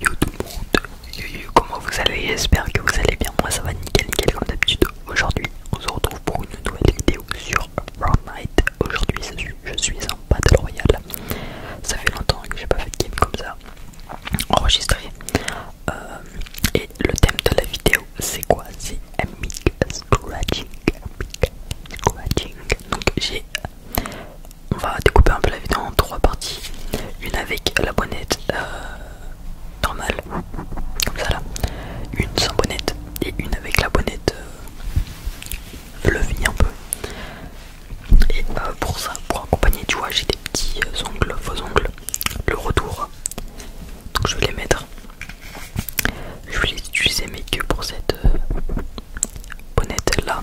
Yo tout le monde, comment vous allez J'espère que vous allez bien, moi ça va nickel nickel comme d'habitude Aujourd'hui on se retrouve pour une nouvelle vidéo sur Fortnite Aujourd'hui je suis en Battle Royale Ça fait longtemps que j'ai pas fait de game comme ça Enregistré euh, Et le thème de la vidéo c'est quoi C'est Amic Scratching Scratching Donc j'ai on va découper un peu la vidéo en trois parties. Une avec la bonnette euh, normale, comme ça Une sans bonnette et une avec la bonnette euh, le un peu. Et euh, pour ça, pour accompagner, tu vois, j'ai des petits ongles, faux ongles, le retour. Donc je vais les mettre. Je vais les utiliser mais que pour cette bonnette là.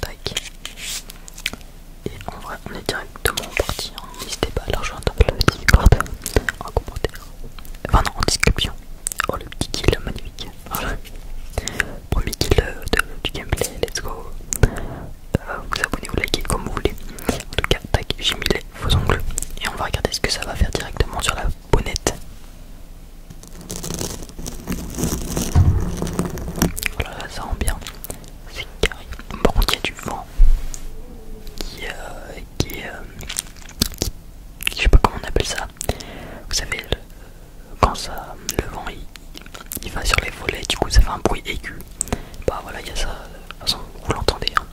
Tac. Et en vrai, on est directement parti. Hein. N'hésitez pas à la rejoindre la petite Discord en commentaire. Enfin, non, en description. Oh, le petit kill magnifique. Premier kill du gameplay. Let's go. Euh, vous abonnez, vous likez comme vous voulez. En tout cas, tac, j'ai mis les faux ongles. Et on va regarder ce que ça va faire directement sur la Bonnette Voilà, oh ça rend bien. C'est carré. Par contre, il y a du vent qui, est... Euh, euh, qui, je sais pas comment on appelle ça. Vous savez, quand ça, le vent il, va sur les volets, du coup ça fait un bruit aigu. Bah voilà, il y a ça. De vous l'entendez hein,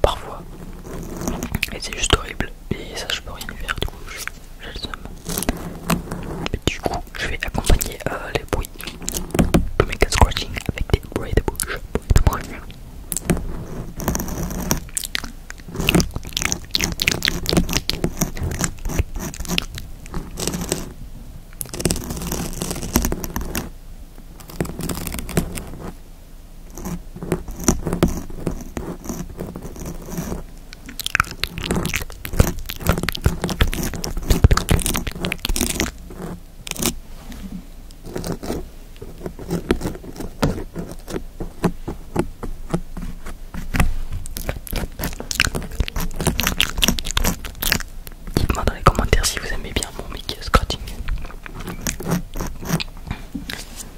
parfois, et c'est juste horrible et ça je peux rien faire du coup je le seum mais du coup je vais accompagner euh, les bruits de méga scratching avec des bruits de bouche bruits de Dites-moi dans les commentaires si vous aimez bien mon Mickey Scratching.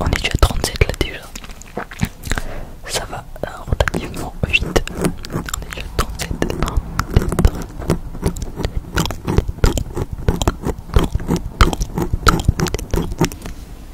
On est déjà à 37 là déjà. Ça va relativement vite. On est déjà à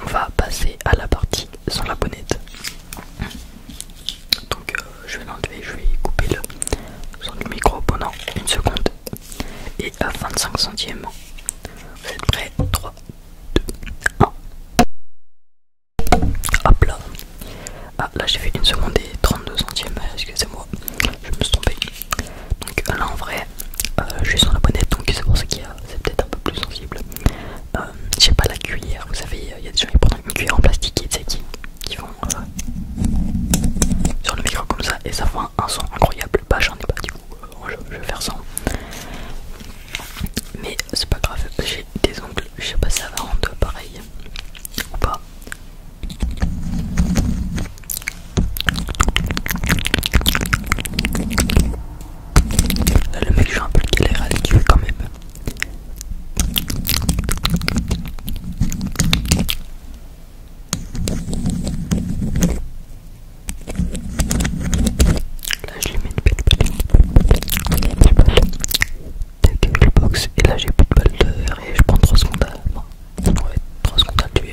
on va passer à la partie sans la bonnette. Donc euh, je vais l'enlever, je vais couper le son du micro pendant une seconde. Et à 25 centièmes, vous êtes prêts 3, 2, 1. Hop là. Ah là j'ai fait une seconde et 32 centièmes, excusez-moi, je me suis trompé. Donc là en vrai euh, je suis sur la bonnette donc c'est pour ça qu'il y a c'est peut-être un peu plus sensible euh, J'ai pas la cuillère vous savez euh, il y a des gens qui prennent une cuillère en plastique et qui, qui vont sur le micro comme ça et ça fait un, son incroyable bah j'en ai pas du coup je, vais faire ça mais c'est pas grave j'ai des ongles je sais pas si ça va rendre pareil ou pas le mec, j'ai un peu de galère à le tuer quand même. Là, je lui mets une petite balle. Tac, Et là, j'ai plus de balle de et je prends 3 secondes à. 3 secondes à tuer.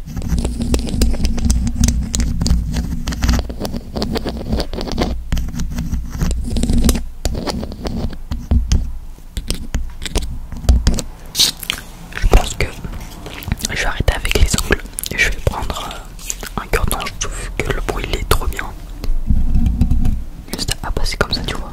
Je pense que je vais arrêter avec les ongles et je vais prendre euh, un cordon. Je trouve que le bruit est trop bien. Juste à passer comme ça, tu vois.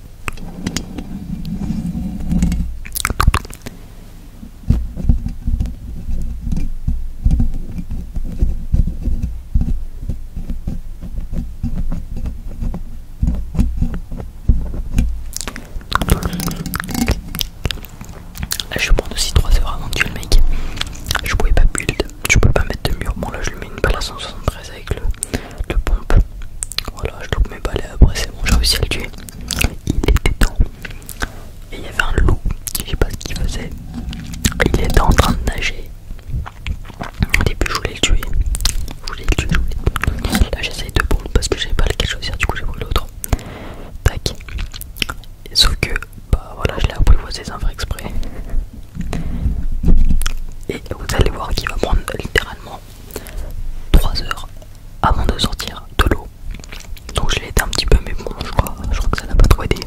Là, je prends aussi 3 heures avant de tuer le mec. Je pouvais pas build tu peux pas mettre de mur. Bon, là je lui mets une balle à 173 avec le, le pompe. Voilà, je loupe mes balais. Après, c'est bon, j'ai réussi à le tuer. Il était dans, Et il y avait un loup, je sais pas ce qu'il faisait. Il était en train de nager. Au début, je voulais le tuer. Je voulais le tuer, je voulais le tuer. Là, j'essaye de pompe parce que j'ai pas lequel choisir, du coup, j'ai pris l'autre. Tac. Sauf que, bah voilà, je l'ai apprivoisé sans faire exprès. Et vous allez voir qu'il va prendre littéralement 3 heures avant de sortir de l'eau. Donc je l'ai aidé un petit peu, mais bon, je crois, je crois que ça n'a pas trop aidé.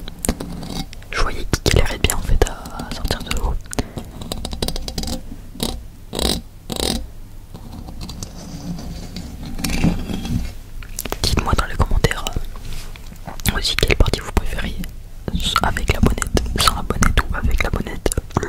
Je voyais qu'il irait bien en fait à sortir de l'eau. Dites-moi dans les commentaires euh, aussi quelle partie vous préfériez avec la bonnette, sans la bonnette ou avec la bonnette, le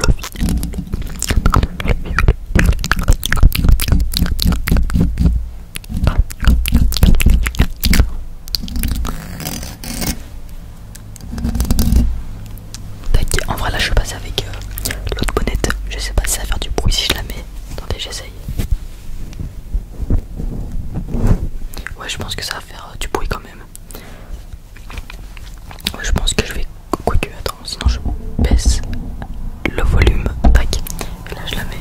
en vrai là je passe avec euh, l'autre bonnette, je sais pas si ça va faire du bruit si je la mets. Attendez j'essaye. Ouais je pense que ça va faire euh, du bruit quand même. Je pense que je vais. que attends, sinon je baisse le volume. Tac. Et là, je la mets.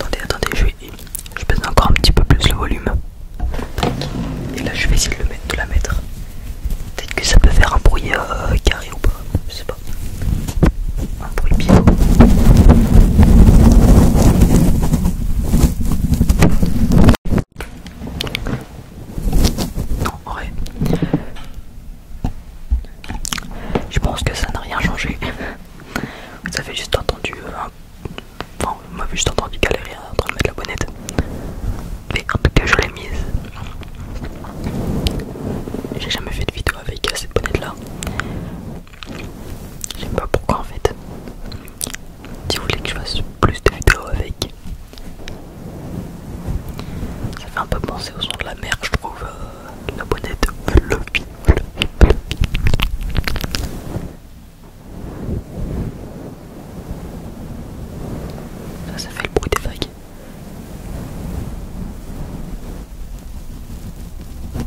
Attendez, attendez, je Je baisse encore un petit peu plus le volume. Et là, je vais essayer de, la mettre. Peut-être que ça peut faire un bruit euh, carré ou pas. Un bruit Non, en Je pense que ça n'a rien changé. Vous avez juste entendu euh, Enfin, vous m'avez juste entendu galérer en train de mettre la bonnette. Mais en tout cas, je l'ai mise. J'ai jamais fait de vidéo avec cette bonnette là. Je sais pas pourquoi en fait. Si vous voulez que je fasse plus de vidéos avec. Ça fait un peu penser au son de la mer, je trouve. Euh, la bonnette Ça, ça fait le bruit des vagues.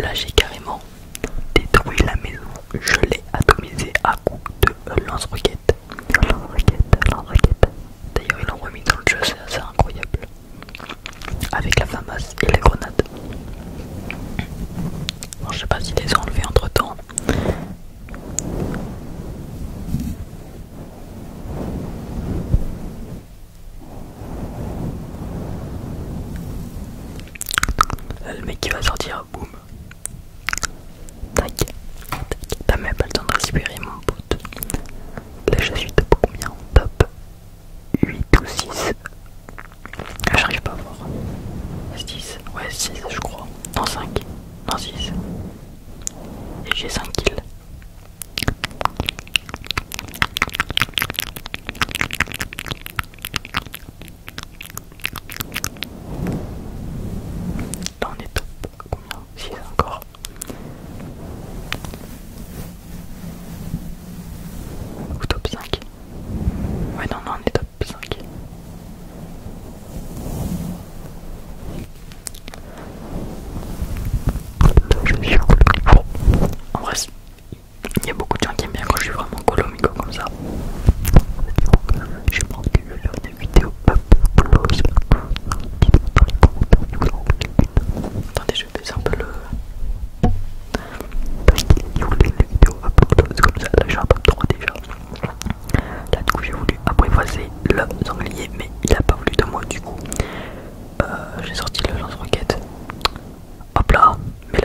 Là j'ai carrément détruit la maison, je l'ai atomisé à coup de lance roquettes lance roquettes lance roquettes D'ailleurs ils l'ont remis dans le jeu, c'est assez incroyable. Avec la fameuse et les grenades. Bon, je sais pas s'ils les ont enlevés entre temps, euh, le mec qui va sortir, boum. Tac, tac. T'as même pas le temps de récupérer mon pote. Là, je suis top combien Top 8 ou 6 ah, J'arrive pas à voir. 6 Ouais, 6, je crois. Non, 5. 6. Et j'ai 5 kills. Là on est top. Combien 6 encore. Ou top 5. Ouais non, non, on est top top 5. Donc je suis bon, en vrai, il y a beaucoup de gens qui aiment bien quand je suis vraiment colomico comme ça. Je pense que je vais faire des vidéos up close. Attendez, je vais faire un peu le. Parce qu'il y des vidéos up close comme ça. Là, j'ai un peu droit déjà. Là du coup j'ai voulu apprivoiser le sanglier mais il a pas voulu de moi du coup euh, j'ai sorti le lance-roquette. Hop là, mais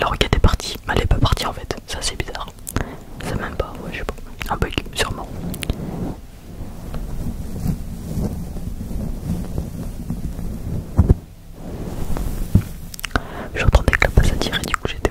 la roquette est partie, elle est pas partie en fait, ça c'est bizarre. ça même pas, ouais je sais pas, un bug sûrement. J'entendais que la à tirer, du coup j'étais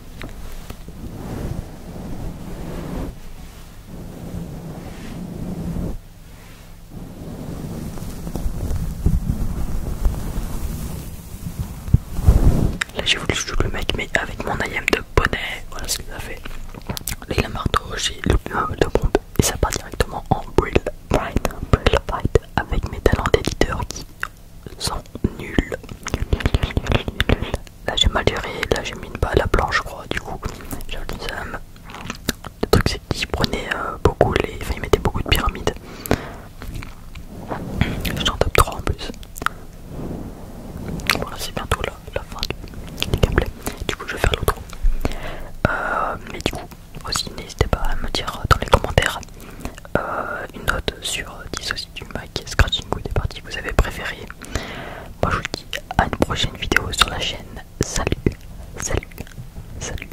Là j'ai voulu jouer le mec mais avec mon IM de bonnet, voilà ce que ça fait. les il j'ai le euh, de bombe et ça part directement en Brill Bright, Brill Bright avec mes talents d'éditeur qui sont nul Là j'ai mal géré, là j'ai mis une balle à planche, je crois du coup. j'ai ça. Le truc c'est qu'ils prenaient euh, beaucoup les. Enfin ils mettaient beaucoup de pyramides. J'en suis en top 3 en plus. Voilà c'est bientôt la, fin du gameplay. Du coup je vais faire l'autre. Euh, mais du coup aussi n'hésitez pas à me dire euh, dans les commentaires euh, une note sur dissocier du Mac Scratching ou des parties que vous avez préférées. Moi je vous dis à une prochaine vidéo sur la chaîne. Salut, salut, salut.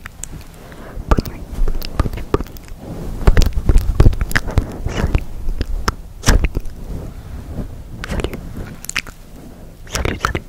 Bonne nuit, Salut, salut, salut, salut, salut.